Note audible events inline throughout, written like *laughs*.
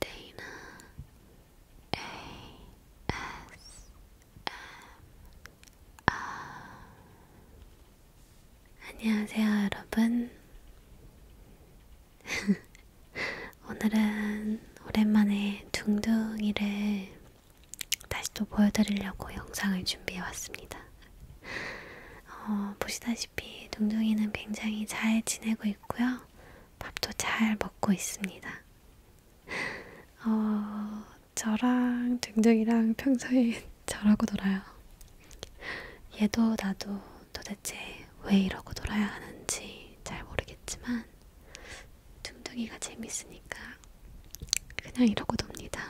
데이나 ASMR 안녕하세요 여러분 *laughs* 오늘은 오랜만에 둥둥이를 다시 또 보여드리려고 영상을 준비해왔습니다 어, 보시다시피 둥둥이는 굉장히 잘 지내고 있고요 밥도 잘 먹고 있습니다. 어, 저랑 등등이랑 평소에 *laughs* 저러고 놀아요. 얘도 나도 도대체 왜 이러고 놀아야 하는지 잘 모르겠지만 둥둥이가 재밌으니까 그냥 이러고 놉니다.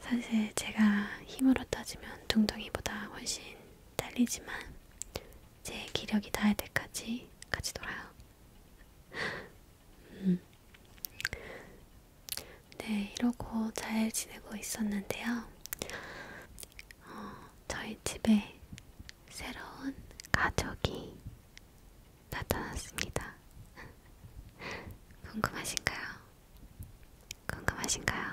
사실 제가 힘으로 따지면 둥둥이보다 훨씬 딸리지만 제 기력이 닿을 때까지 같이 놀아요. *laughs* 음. 네, 이러고 잘 지내고 있었는데요. 어, 저희 집에 새로운 가족이 나타났습니다. *laughs* 궁금하신가요? 궁금하신가요?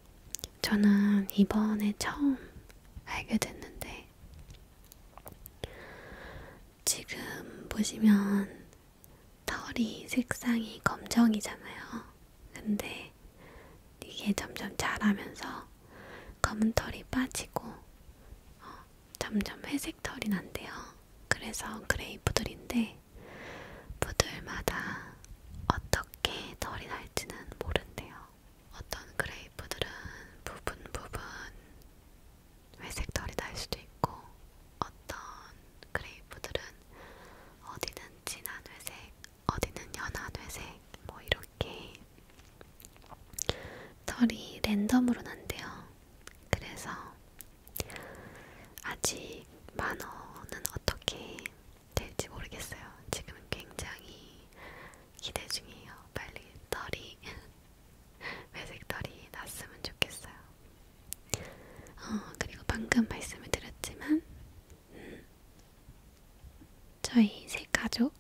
저는 이번에 처음 알게 됐는데, 지금 보시면 털이 색상이 검정이잖아요. 근데 이게 점점 자라면서 검은 털이 빠지고 어, 점점 회색 털이 난대요. 그래서 그레이 푸들인데 푸들마다 어떤 어떻게 털이 날지는 모른대요. 어떤 그레이프들은 부분 부분 회색 털이 날 수도 있고, 어떤 그레이프들은 어디는 진한 회색, 어디는 연한 회색, 뭐 이렇게 털이 랜덤으로 난대요. 그래서 아직 만원은 어떻게 될지 모르겠어요. 지금 굉장히 기대 중이에요. 빨리 털이 *laughs* 회색 털이 났으면 좋겠어요. 어, 그리고 방금 말씀을 드렸지만 음, 저희 새 가족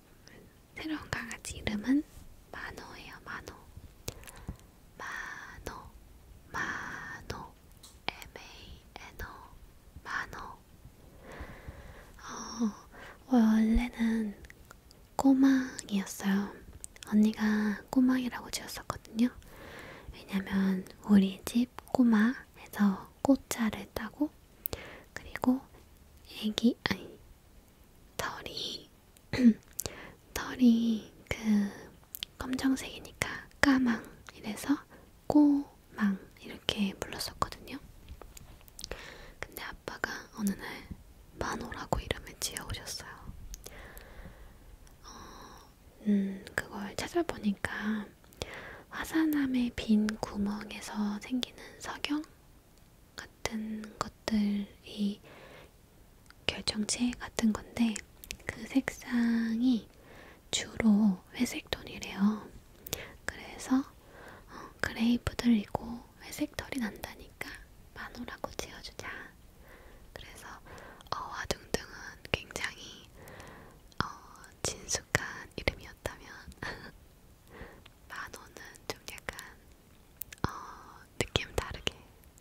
새로운 강아지 이름은 마노예요. 마노, 마노, 마노, M A N O, 마노. 어, 원래는 꼬망이었어요. 언니가 꼬망이라고 지었었거든요. 왜냐면 우리 집 꼬마에서 꽃자를 따고 그리고 애기 아니 털이 *clears throat* 털이 그 검정색이니까 까망 이래서 꼬망 이렇게 불렀었거든요. 근데 아빠가 어느 날 만호라고 이름을 지어오셨어요. 어, 음, 그걸 찾아보니까 화산암의 빈 구멍에서 생기는 석영 같은 것들이 결정체 같은 건데 그 색상이 톤이 주로 회색 톤이래요. 그래서 어, 그레이브들이고 회색 털이 난다니까 마노라고 지어주자. 그래서 어와 둥둥은 굉장히 어, 진숙한 이름이었다면 *laughs* 마노는 좀 약간 어, 느낌 다르게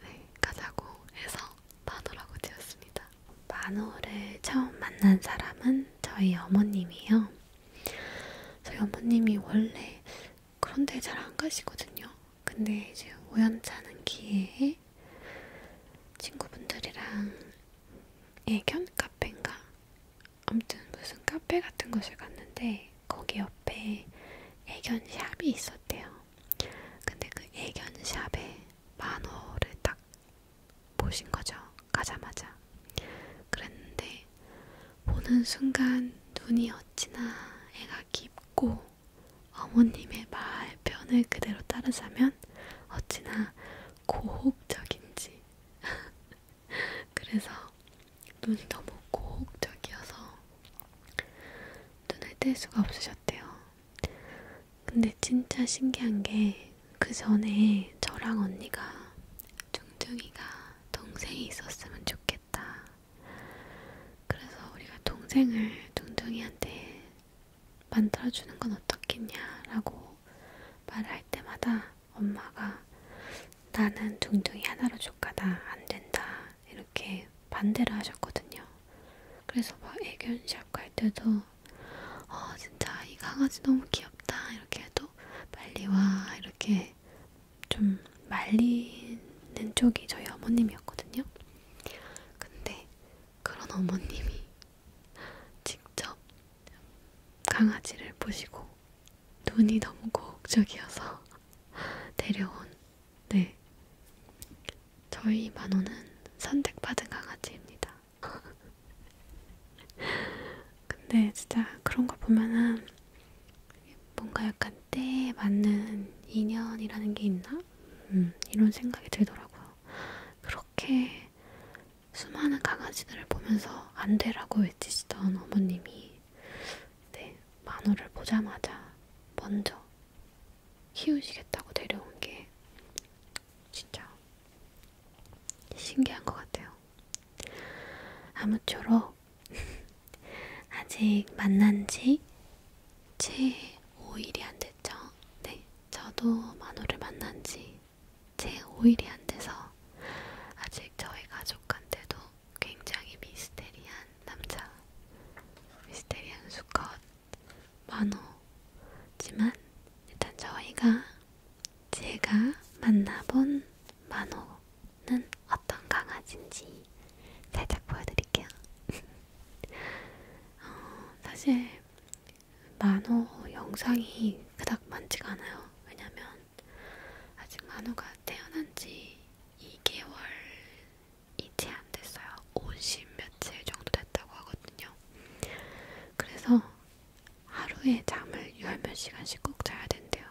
네, 가자고 해서 마노라고 지었습니다. 만호를 처음 만난 사람은 저희 어머님이에요. 저희 어머님이 원래 그런데 잘 안 가시거든요. 근데 이제 우연찮은 기회에 친구분들이랑 애견 카페인가? 아무튼 무슨 카페 같은 곳을 갔는데 거기 옆에 애견 샵이 있었대요. 근데 그 애견 샵에 만호를 딱 보신 거죠. 가자마자. 그랬는데 보는 순간 눈이 어찌나 애가 깊고 어머님의 말 편을 그대로 따르자면 어찌나 고혹적인지. *laughs* 그래서 눈이 너무 고혹적이어서 눈을 뗄 수가 없으셨대요. 근데 진짜 신기한 게 그 전에 저랑 언니가 중둥이가 동생이 있었으면 좋겠다. 그래서 우리가 동생을 중둥이한테 만들어주는 건 어떻겠냐라고 말할 때마다 엄마가 나는 중둥이 하나로 족하다 안 된다 이렇게 반대를 하셨거든요. 그래서 막 애견샵 갈 때도 어, 진짜 이 강아지 너무 귀엽다 이렇게 해도 빨리 와 이렇게 좀 말리는 쪽이 저희 어머님이었거든요. 근데 그런 어머님이 직접 강아지를 보시고 눈이 너무 고혹적이어서 *laughs* 데려온 네 저희 만호는 선택받은 강아지입니다. *laughs* 근데 진짜 그런 거 보면은 뭔가 약간 때에 맞는 인연이라는 게 있나? 음, 이런 생각이 들더라고요. 그렇게 수많은 강아지들을 보면서 안 되라고 외치시던 어머님이 네, 만호를 보자마자 먼저 키우시겠다고 데려온 게 진짜 신기한 것 같아요. 아무쪼록 *laughs* 아직 만난 지채 5일이 안 됐죠? 네, 저도 만호를 만난 지채 5일이 안 돼서 아직 저희 가족한테도 굉장히 미스테리한 남자, 미스테리한 수컷 만호지만 일단 저희가 제가 만나본 만호는 어떤 강아지인지 살짝 보여드릴게요. *laughs* 어, 사실 만호 영상이 그닥 많지가 않아요. 왜냐면 아직 만호가 태어난 지 2개월이 채안 됐어요. 50 며칠 정도 됐다고 하거든요. 그래서 하루에 잠을 열 몇 시간씩 꼭 자야 된대요.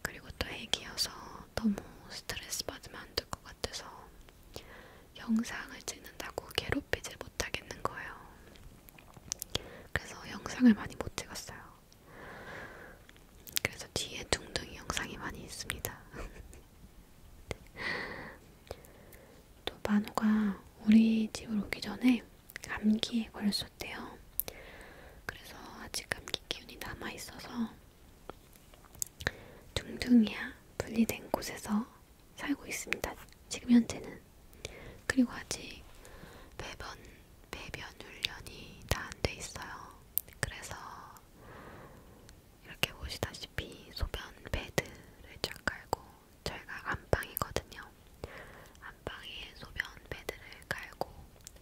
그리고 또 애기여서 너무 스트레스 받으면 안 될 것 같아서 영상을 찍는다고 괴롭히질 못하겠는 거예요. 그래서 영상을 많이 못 찍었어요. 그래서 뒤에 둥둥이 영상이 많이 있습니다. *laughs* 또 만호가 우리 집으로 오기 전에 감기에 걸렸었대요. 그래서 아직 감기 기운이 남아있어서 둥둥이야 분리된 곳에서 살고 있습니다. 지금 현재는. 그리고 아직 배변, 배변 훈련이 다 안 돼 있어요. 그래서 이렇게 보시다시피 소변 패드를 쫙 깔고 저희가 안방이거든요. 안방에 소변 패드를 깔고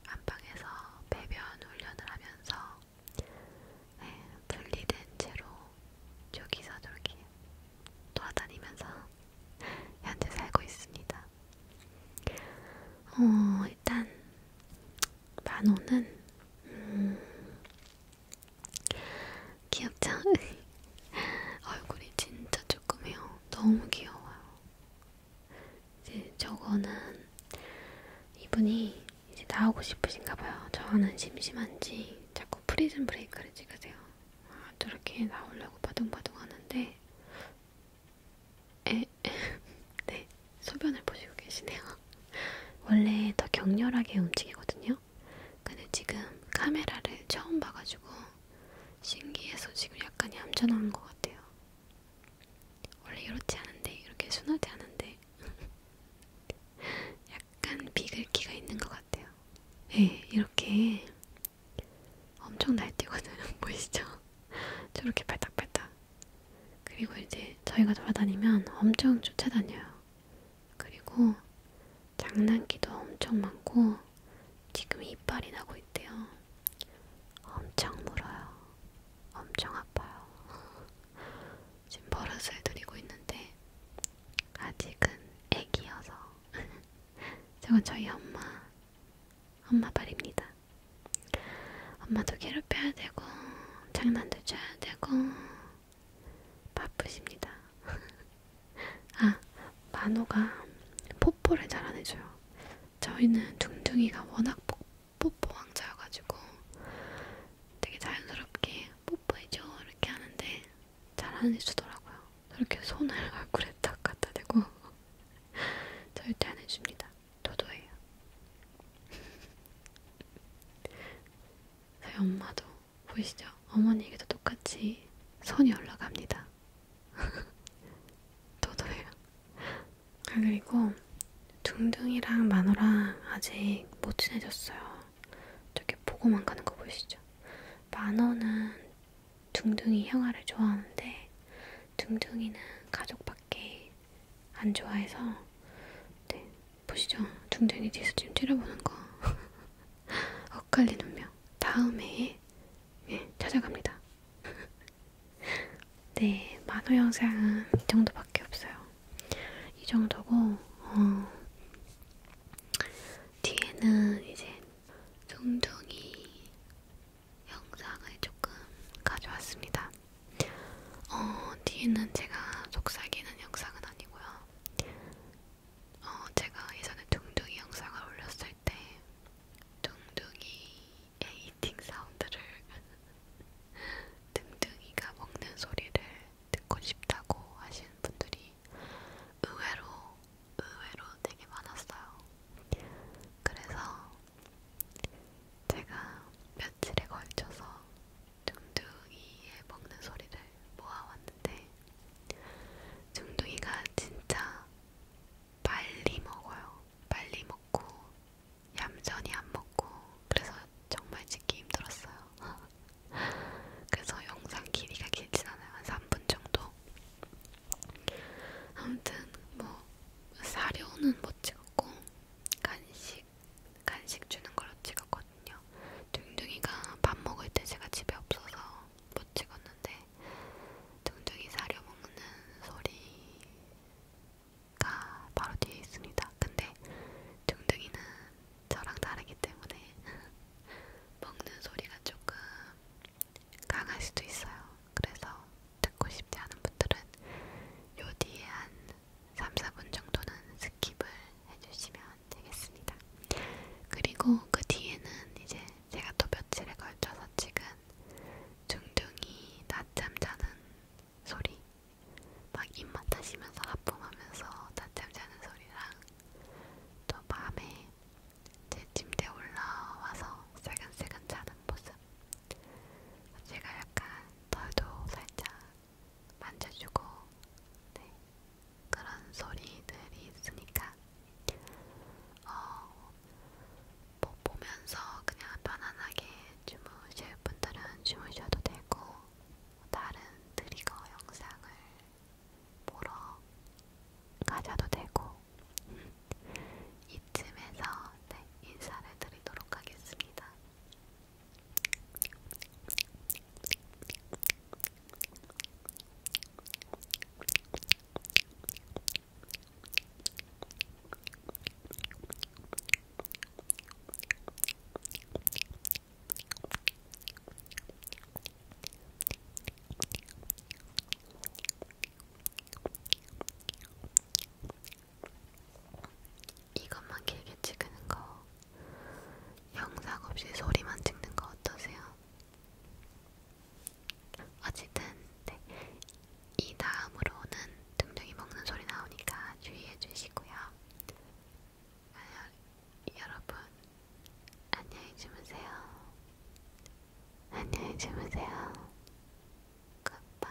안방에서 배변 훈련을 하면서 네, 분리된 채로 저기서저기 돌아다니면서 *laughs* 현재 살고 있습니다. 어, 일단 만원은 음, 귀엽죠? *laughs* 얼굴이 진짜 조그매요. 너무 귀여워요. 이제 저거는 이분이 이제 나오고 싶으신가봐요. 저는 심심한지 자꾸 프리즌 브레이크를 찍으세요. 아, 저렇게 나오려고 바둥바둥 하는데, 에, *laughs* 네, 소변을 보시고 계시네요. *laughs* 원래 더 격렬하게 움직이거든요. 있거든요. 근데 지금 카메라를 처음 봐가지고 신기해서 지금 약간 얌전한 것 같아요. 원래 이렇지 않은데 이렇게 순하지 않은데 *laughs* 약간 비글기가 있는 것 같아요. 네, 이렇게 엄청 날뛰거든요. *laughs* 보이시죠? 저렇게 발딱발딱. 그리고 이제 저희가 돌아다니면 엄청 쫓아다녀요. 그리고 장난기도 엄청 많고 지금 이빨이 나고 있대요. 엄청 물어요. 엄청 아파요. 지금 버릇을 들이고 있는데 아직은 애기여서 *laughs* 저건 저희 엄마 엄마 발입니다. 엄마도 괴롭혀야 되고 장난도 줘야 되고 바쁘십니다. *laughs* 아, 만호가 뽀뽀를 잘 안 해줘요. 저희는 둥둥이가 워낙 뽀뽀 왕자여가지고 되게 자연스럽게 뽀뽀해줘 이렇게 하는데 잘 안 해주더라고요. 저렇게 손을 *laughs* 얼굴에 딱 갖다 대고 *laughs* 절대 안 해줍니다. 도도해요. 저희 엄마도 보이시죠? 어머니에게도 똑같이 손이 올라갑니다. *laughs* 도도해요. 아, 그리고 둥둥이랑 마노랑 아직 못 친해졌어요. 저기 보고만 가는 거 보이시죠? 마노는 둥둥이 형아를 좋아하는데 둥둥이는 가족밖에 안 좋아해서 네, 보시죠. 둥둥이 뒤에서 지금 찌려보는 거. *laughs* 엇갈리는 명. 다음에 예, 찾아갑니다. *laughs* 네, 만호 영상은 이 정도밖에 없어요. 이 정도고 어, 뒤에는 이제 둥둥이 영상을 조금 가져왔습니다. 어, 뒤에는 제가 속삭이는 영상은 아니고요. 어, 제가 예전에 둥둥이 영상을 올렸을 때 둥둥이의 이팅 사운드를 *laughs* 둥둥이가 먹는 소리를 듣고 싶다고 하시는 분들이 의외로 의외로 되게 많았어요. 그래서 제가 며칠에 걸쳐서 중둥이의 먹는 소리를 모아왔는데 중둥이가 진짜 빨리 먹어요. 빨리 먹고 얌전히 안 먹고 그래서 정말 찍기 힘들었어요. *laughs* 그래서 영상 길이가 길진 않아요. 한 3분 정도. 아무튼 뭐 사료는 못 찍었고 간식 간식 주는 걸로 찍었고 찍었거든요. 둥둥이가 밥 먹을 때 제가 집에 없어서 못 찍었는데 둥둥이 사료 먹는 소리가 바로 뒤에 있습니다. 근데 둥둥이는 저랑 다르기 때문에 *laughs* 먹는 소리가 조금 강할 수도 있어요. 그래서 듣고 싶지 않은 분들은 요 뒤에 한 3, 4분 정도는 스킵을 해주시면 되겠습니다. 그리고 그 뒤에는 이제 제가 또 며칠에 걸쳐서 찍은 중둥이 낮잠 자는 소리, 막 입맛 다시면서 하품하면서 낮잠 자는 소리랑 또 밤에 제 침대 올라와서 새근새근 자는 모습. 제가 약간 털도 살짝 만져주고 네, 그런 소리들이 있으니까 어, 뭐 보면서 그냥 편안하게 주무실 분들은 주무셔도 되고 다른 트리거 영상을 보러 가셔도 되고 이쯤에서 네, 인사를 드리도록 하겠습니다. 이것만 길게 찍는 거 영상 없이 소리만 찍는 거 어떠세요? 어쨌든 네. 이 다음으로는 등등이 먹는 소리 나오니까 주의해 주시고요. 아유, 여러분 안녕히 주무세요. 안녕히 주무세요. 굿밤.